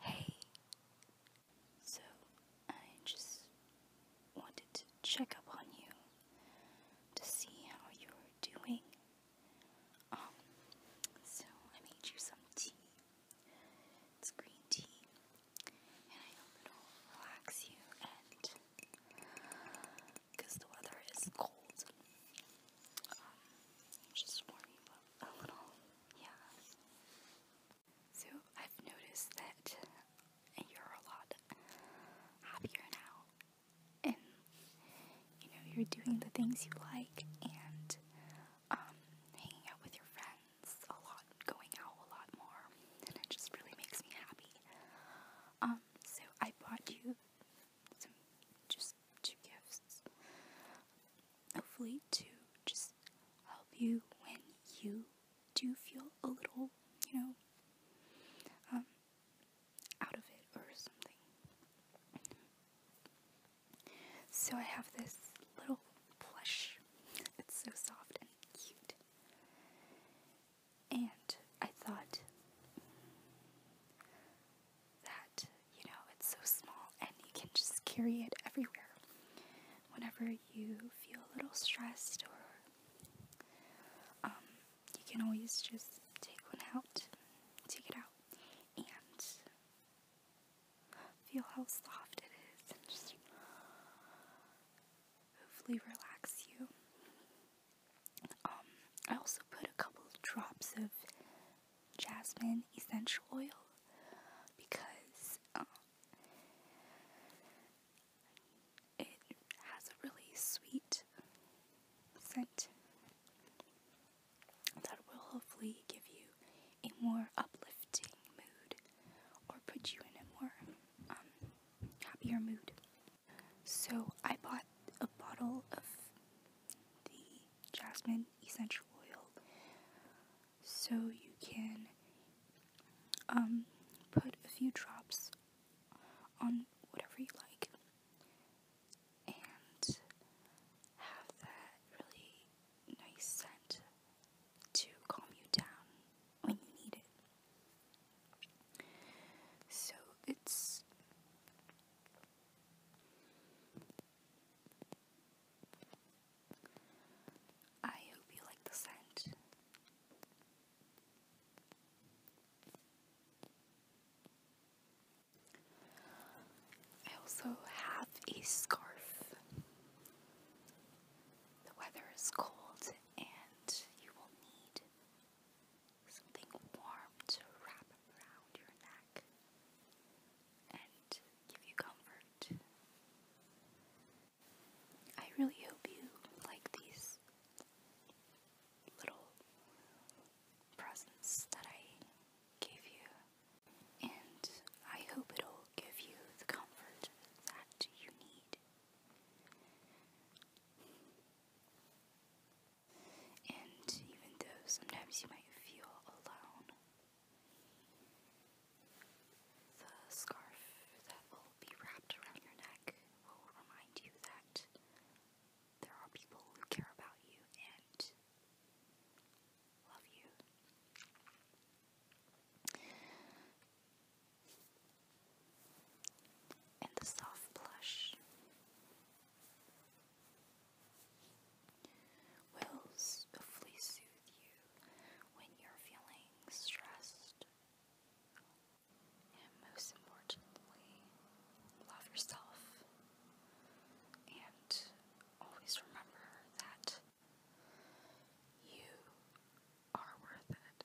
Hey, so I just wanted to check up on you to see how you're doing. Um, so I made you some tea. It's green tea and I hope it relax you and because the weather is cold. Um, just warm up a little, yeah. So I've noticed that you're a lot happier now, and you know you're doing the things you like and um, hanging out with your friends a lot, going out a lot more, and it just really makes me happy. Um, so I bought you some just two gifts, hopefully to just help you when you do feel a little, you know, um, out of it or something. So I have this little plush it's so soft and cute. And I thought that, you know, it's so small and you can just carry it everywhere. Whenever you feel a little stressed or um, you can always just take one out, take it out, and Feel how soft it is and just hopefully relax you. Um, I also put a couple drops of jasmine essential oil because um, it has a really sweet scent that will hopefully give you a more uplifting mood or put you in a more um, happier mood. So I bought a bottle of the jasmine essential oil so you can um, put a few drops on whatever you like and have that really nice scent to calm you down when you need it. So it's I hope you like the scent. I also have a scarf. The weather is cold and you will need something warm to wrap around your neck and give you comfort. I really hope you like these little presents that I gave you, and I hope it'll give you the comfort that you need. And even though sometimes you might feel alone, the scarf that will be wrapped around your neck will remind you that there are people who care about you and love you. And the soft plush will hopefully soothe you when you're feeling stressed and most importantly, love yourself. And always remember that you are worth it.